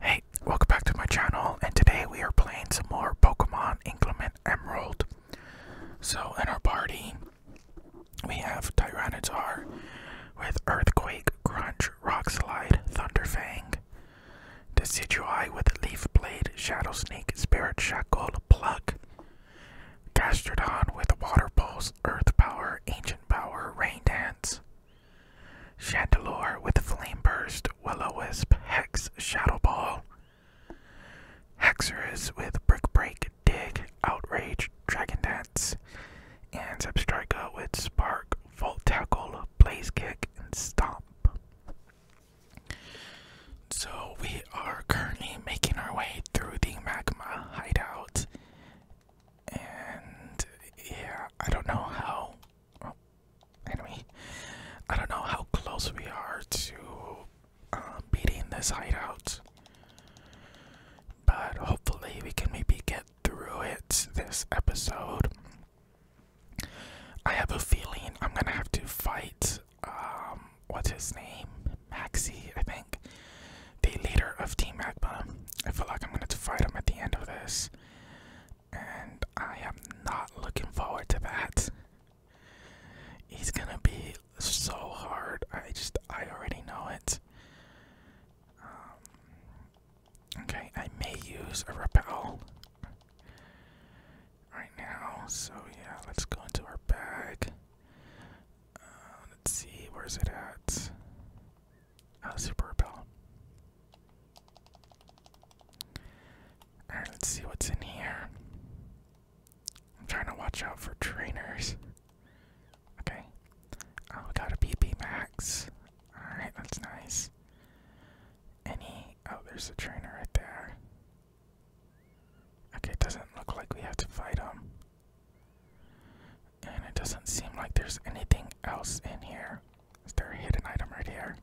Hey, welcome back to my channel, and today we are playing some more Pokemon Inclement Emerald. So, in our party, we have Tyranitar with Earthquake, Crunch, Rock Slide, Thunder Fang. Decidueye with Leaf Blade, Shadow Snake, Spirit Shackle, Pluck, Gastrodon with Water Pulse, Earth Power, Ancient Power, Rain Dance, Chandelure with Flame Burst, Willow wisp Hex, Shadow Ball. Hexerus with Brick Break, Dig, Outrage, Dragon Dance, and Substrika with Spark, Volt Tackle, Blaze Kick, and Stomp. So we are currently making our way through the magma hideout, and yeah, I don't know how oh, I don't know how close we are to um, beating this hideout, but hopefully we can maybe get through it this episode. I have a feeling I'm gonna have to fight. Um, what's his name? Maxi, I think. The leader of Team Magma. I feel like I'm gonna have to fight him at the end of this and I am not looking forward to that. He's gonna be so hard. I just, I already know it. Um, okay, I may use a repel right now. So yeah, let's go into our bag. Uh, let's see, where's it at? uh, super ball! Alright, let's see what's in here. I'm trying to watch out for trainers. Okay. Oh, we got a BP max. Alright, that's nice. Any. Oh, there's a trainer right there. Okay, it doesn't look like we have to fight him. And it doesn't seem like there's anything else in here. Is there a hidden item right here?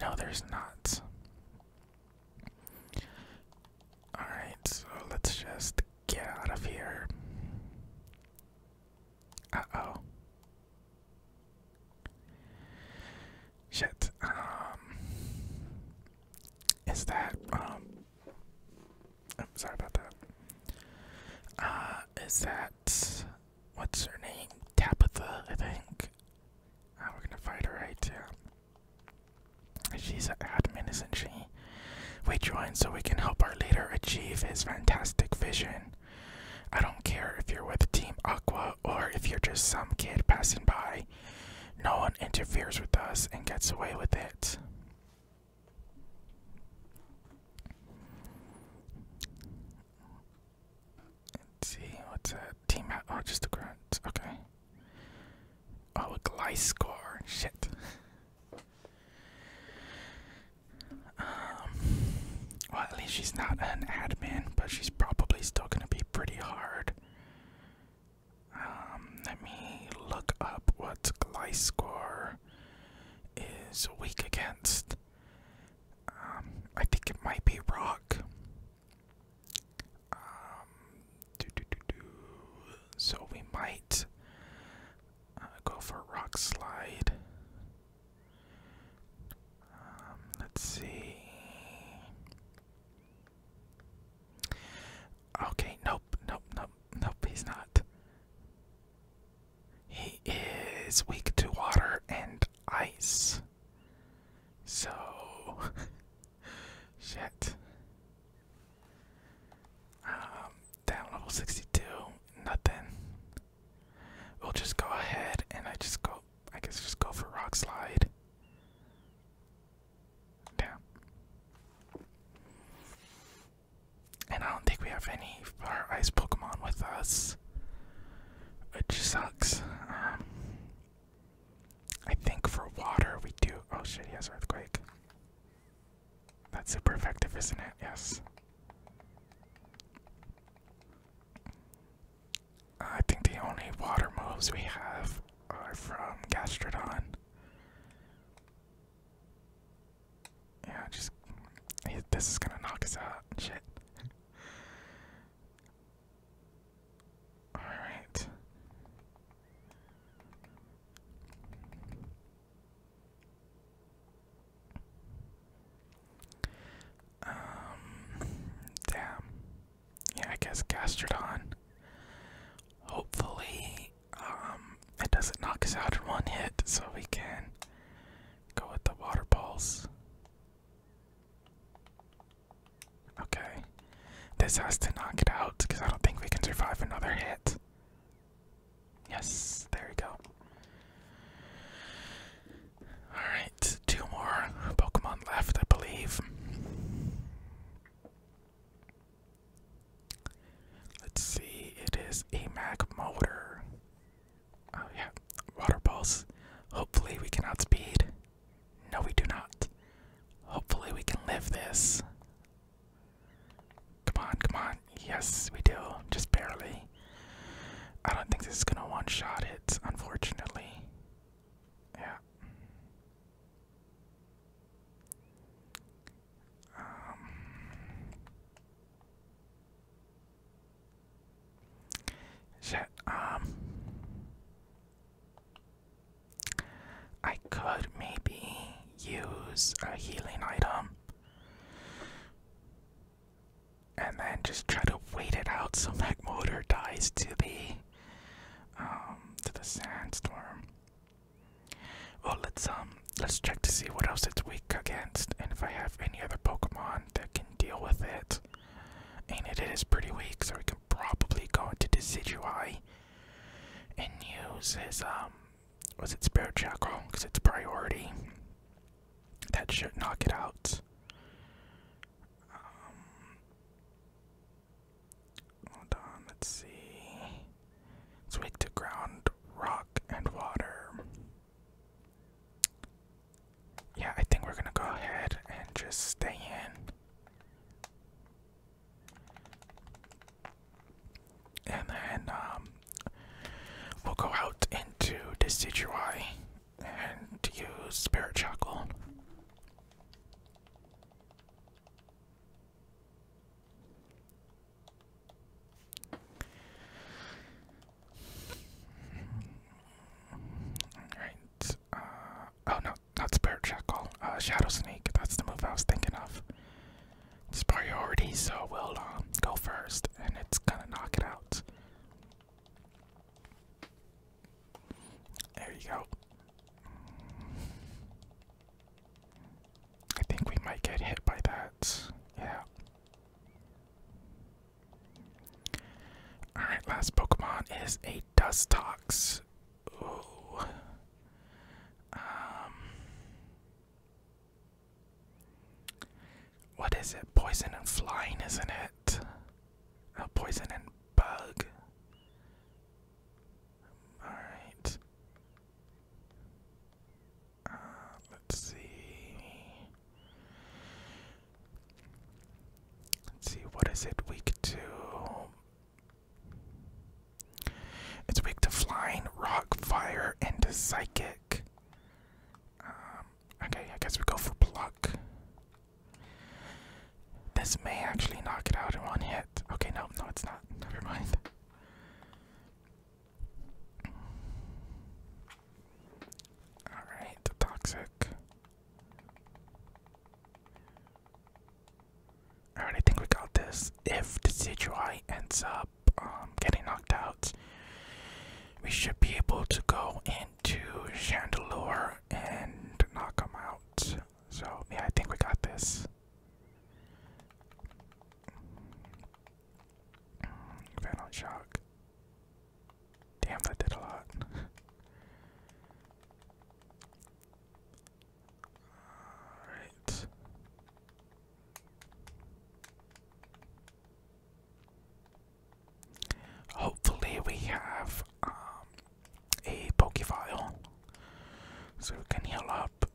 No, there's not. Alright, so let's just get out of here. Uh oh. Shit. Um. Is that, um. I'm sorry about that. Uh, is that what's her name? Tabitha, I think. Oh, we're gonna fight her right yeah. She's an admin, isn't she? We join so we can help our leader achieve his fantastic vision. I don't care if you're with Team Aqua or if you're just some kid passing by. No one interferes with us and gets away with it. Let's see, what's a Team out. Oh, just a grunt. Okay. Oh, a Glyce score. Shit. um. Well, at least she's not an admin, but she's probably still gonna be pretty hard. Um, let me look up what's Glyce score is weak against. Um, I think it might be Rock. Um, so we might uh, go for Rock Slide. Um, let's see. Okay, nope, nope, nope, nope, he's not. He is weak to water and ice. So. Shit. Um, level 62, nothing. We'll just go ahead and I just go, I guess just go for rock slide. Damn. And I don't think we have any fire ice Pokemon with us. Which sucks. Um, I think for water we do. Oh shit, he has Earthquake. That's super effective, isn't it? Yes. I think the only water moves we have are from Gastrodon. Yeah, just this is gonna knock us out. Shit. All right. Um. Damn. Yeah, I guess Gastrodon. Hopefully, um, it doesn't knock us out in one hit, so we can go with the water balls. Okay, this has to knock it out because I don't think we can survive another hit. Yes, there we go. Alright, two more Pokemon left, I believe. Let's see, it is a Mac motor. Oh, yeah, water pulse. Hopefully, we can outspeed. No, we do not. Hopefully, we can live this. Come on, come on. Yes, we do. Just barely. I don't think this is gonna one shot it, unfortunately. Yeah. Um, shit. Um, I could maybe use a healing item. And then just try to wait it out so that Motor dies to the um to the sandstorm. Well, let's um, let's check to see what else it's weak against, and if I have any other Pokemon that can deal with it. And it is pretty weak, so we can probably go into Decidueye and use his um, was it Spirit Shackle? Because it's priority. That should knock it out. Um, hold on, let's see. It's weak to ground, rock, and water. Yeah, I think we're gonna go ahead and just stay in. And then um, we'll go out into Decidueye and use Spirit Shackle. Alright, uh, oh no, not Spirit Shackle, Shadow Snake, that's the move I was thinking of. It's priority, so we'll um, go first, and it's gonna knock it out. There you go. I think we might get hit by that. Yeah. Alright, last Pokemon is a Dustox. Ooh. Um What is it? Poison and flying, isn't it? Uh, poison and bug. Alright let's see. Let's see, what is it? Week two. It's weak to flying, rock, fire, and psychic. Um, okay, I guess we go for pluck. This may actually knock it out in one hit. Okay, no, no, it's not. Never mind. Alright, toxic. Alright, I think we got this. If the CGI ends up um, getting knocked out, we should be able to go into Chandelier and knock him out. So, yeah, I think we got this. Phantom shock. Damn, that did a lot. Alright. Hopefully, we have um, a Poke file so we can heal up up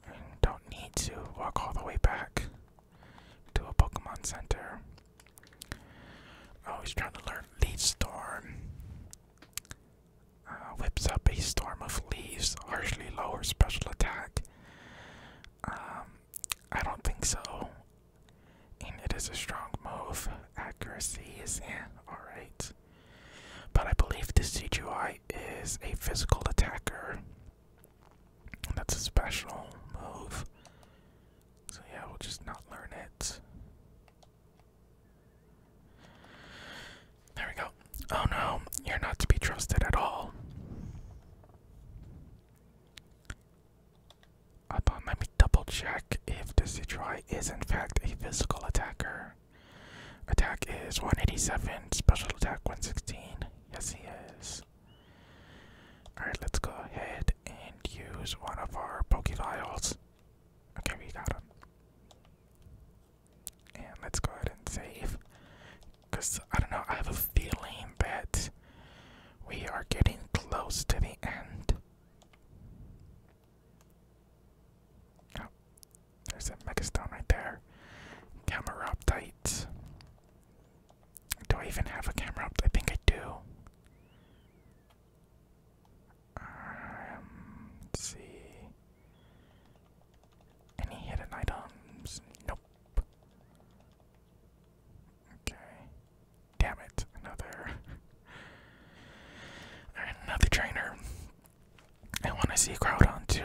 don't need to walk all the way back to a Pokemon Center. Oh, he's trying to learn Leaf Storm. Uh, whips up a storm of leaves, harshly lower special attack. Um, I don't think so. And it is a strong move. Accuracy is eh, alright. But I believe this CGI is a physical attacker. That's a special move. So yeah, we'll just not learn it. There we go. Oh no, you're not to be trusted at all. Upon let me double check if this Detroit is in fact a physical attacker. Attack is 187, special attack 116. Yes, he is. Alright, let's go ahead and use one of our Poke Vials. Okay, we got him. And let's go ahead and save. Because, I don't know, I have a feeling that we are getting close to the end. Oh, there's a megastone right there. Camera up tight. Do I even have a camera up? I think I do. Um, let's see. Any hidden items? Nope. Okay. Damn it! Another, another trainer. I want to see Groudon too,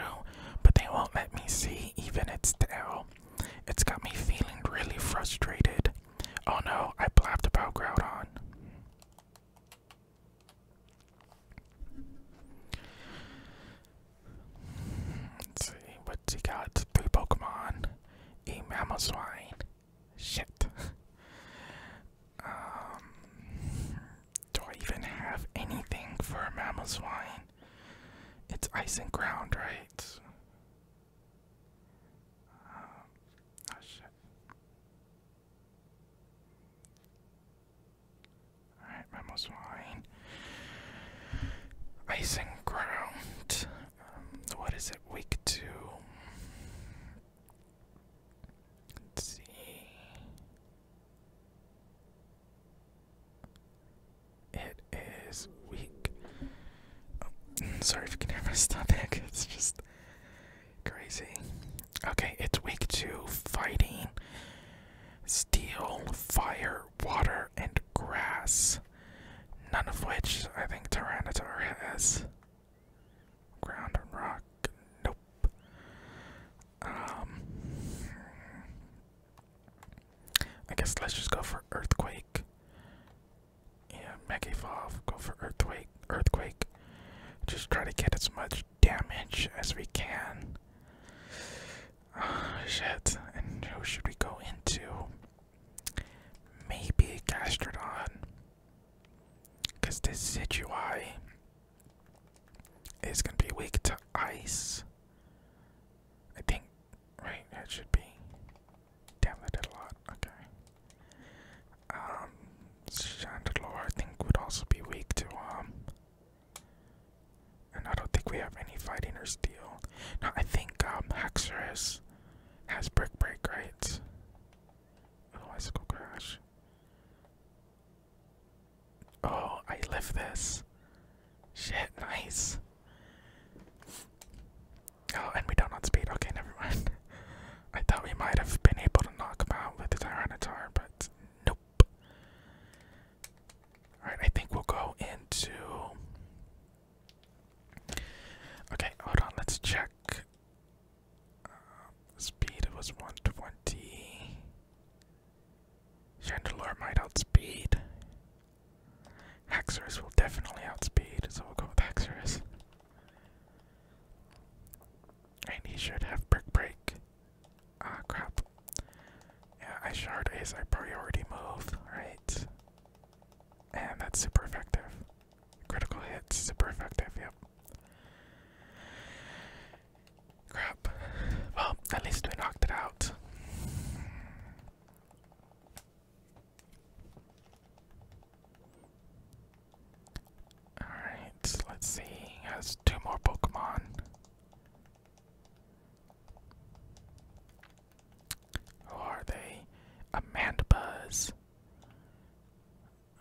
but they won't let me see even its tail. It's got me feeling really frustrated. Oh no, I blabbed about Groudon. Let's see, what's he got? Three Pokemon. A Mamoswine. Shit. um, do I even have anything for Mamoswine? It's ice and ground, right? Um, oh shit. Alright, Memo's wine. Ice and ground. Um, what is it? Week two. Let's see. It is weak. Oh, sorry if you can hear my stomach. It's just crazy. Okay, it's weak to fighting, steel, fire, water, and grass. None of which I think Tyranitar has. Ground and rock. Nope. Um, I guess let's just go for earthquake. Yeah, Mega Evolve, go for earthquake earthquake. Just try to get as much damage as we can. Oh, shit. And who should we go into? Maybe Gastrodon. Cause this Situai it's gonna be weak to ice. I think, right? That should be. Damn, that did a lot. Okay. Um, Chandelure, I think, would also be weak to, um. And I don't think we have any fighting or steel. No, I think, um, Haxorus has Brick Break, right? Otherwise, it go crash. Oh, I live this. Shit, nice. Oh, and we don't on speed. Okay, never mind. I thought we might have been able to knock out with the Tyranitar, but nope. Alright, I think we'll go into. Okay, hold on, let's check. Uh, speed was 120. Chandelure might outspeed. Haxorus will definitely outspeed, so we'll go with Haxorus. And he should have Brick Break. Ah, crap. Yeah, Ice Shard is a priority move, right? And that's super effective. Critical hits, super effective, yep. Crap. Well, at least we knocked it out. Alright, let's see. He has two more Pokemon. Who are they? Amandabuzz.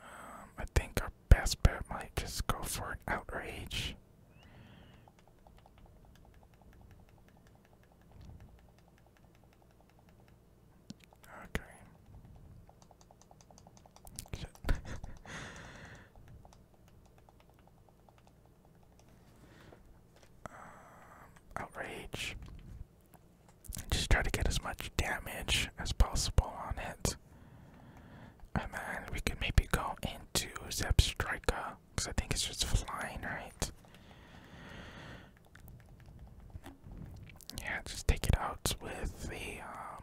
Um, I think our best bet might just go for an outrage. Okay. Um, outrage. Just try to get as much damage as possible on it. Uh, and then we can maybe go into Zebstrika, because I think it's just flying, right? Yeah, just take it out with the, um,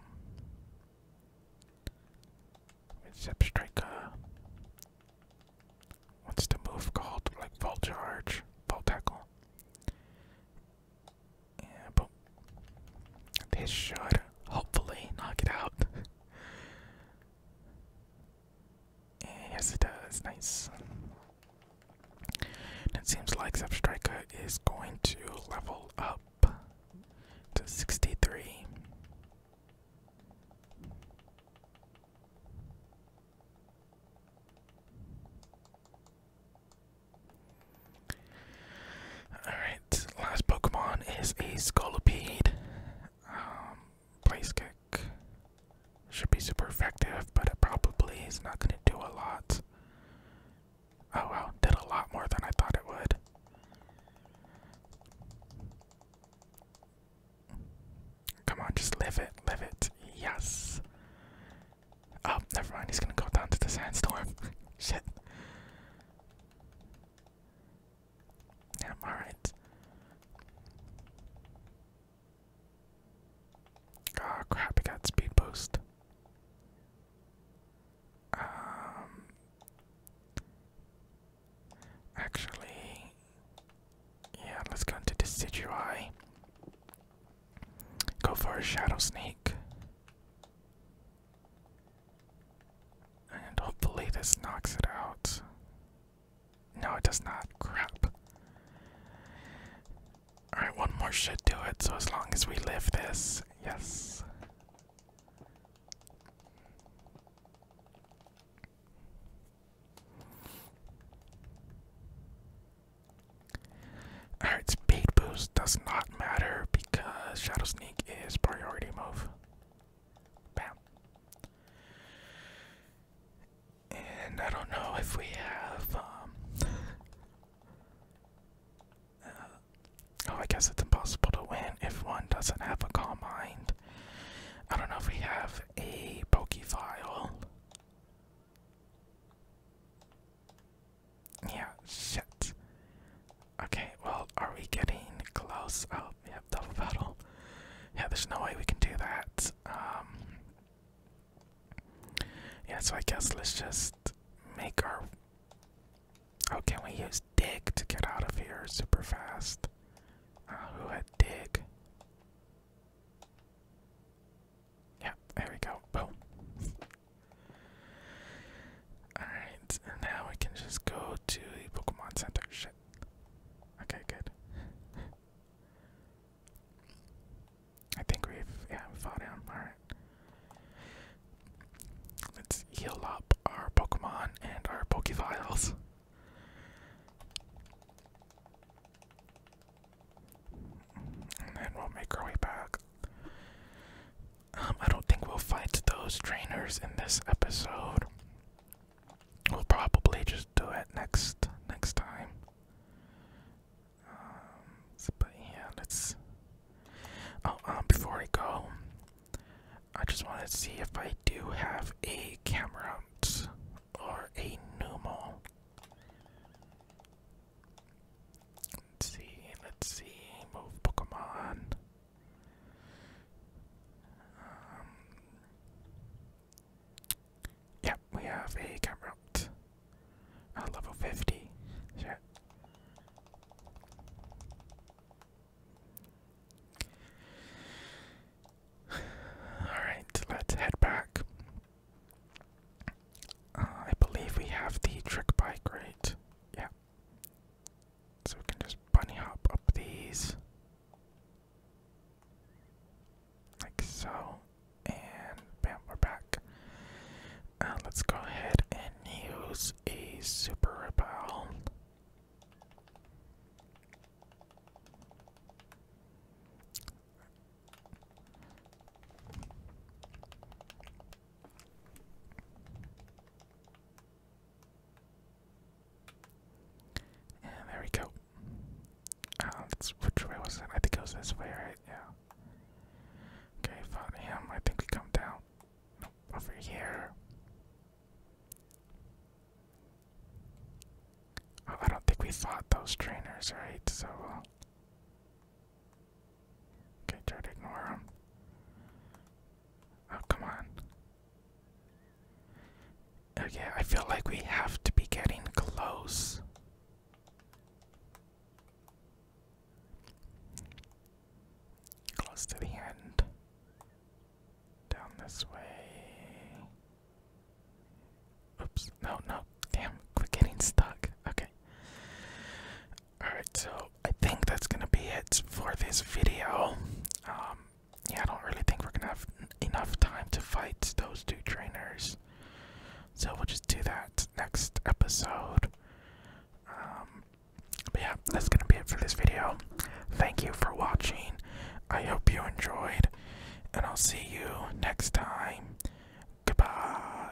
with Zebstrika. What's the move called? Like, Volt Charge, Volt Tackle. Yeah, but this should hopefully knock it out. Yes, it does. Nice. it seems like Zepstrika is going to level up to 63. All right last Pokemon is a Scolipede. Um, Place Kick should be super effective, but it probably is not going to do a lot. Oh wow, did a lot more than I thought it would. Come on, just live it, live it. Yes. Oh, never mind. He's gonna go down to the sandstorm. Shit. Damn, alright. Oh crap, I got speed boost. Um actually yeah, let's go into Decidueye. Go for a Shadow Snake. And hopefully this knocks it out. No, it does not. Crap. Alright, one more should do it, so as long as we live this, yes. Alright, speed boost does not matter because Shadow Sneak is priority move. And I don't know if we have. Um, uh, oh, I guess it's impossible to win if one doesn't have a calm mind. I don't know if we have a Pokefile. Yeah, shit. Okay, well, are we getting close? Oh, we have double pedal. Yeah, there's no way we can do that. Um, yeah, so I guess let's just make our. Oh, can we use dig to get out of here super fast? Uh, who had dig? Yeah, there we go. Boom. Alright, and now we can just go to the Pokemon Center. Shit. Okay, good. I think we've yeah, we fought him. Alright. Let's heal up our Pokemon and our Pokeviles. And then we'll make our way back. Um, I don't think we'll fight those trainers in this episode. We'll probably just do it next next time. Um, but yeah, let's. Oh, um, before I go, I just want to see if I do have a camera or a pneumo. Let's see, let's see, Pokemon. Um, yeah, we have a camera Uh, level 50. Shit. Alright, let's head back. Uh, I believe we have the trick bike, right? Yeah, so we can just bunny hop up these. Like so. And bam, we're back. Uh, let's go ahead and use a super repel. And there we go. Uh, that's, which way I think it was this way, right? Yeah. Okay, found him. I think we come down. over here. Oh, I don't think we fought those trainers, right? So, uh, okay, try to ignore them. Oh, come on. Okay, oh, I feel like we have to be getting close. Close to the end. Down this way. Oops. No, no. Damn. Quit getting stuck. Okay. Alright, so I think that's gonna be it for this video. Um, yeah, I don't really think we're gonna have enough time to fight those two trainers. So we'll just do that next episode. Um, but yeah, that's gonna be it for this video. Thank you for watching. I hope you enjoyed, and I'll see you next time. Goodbye.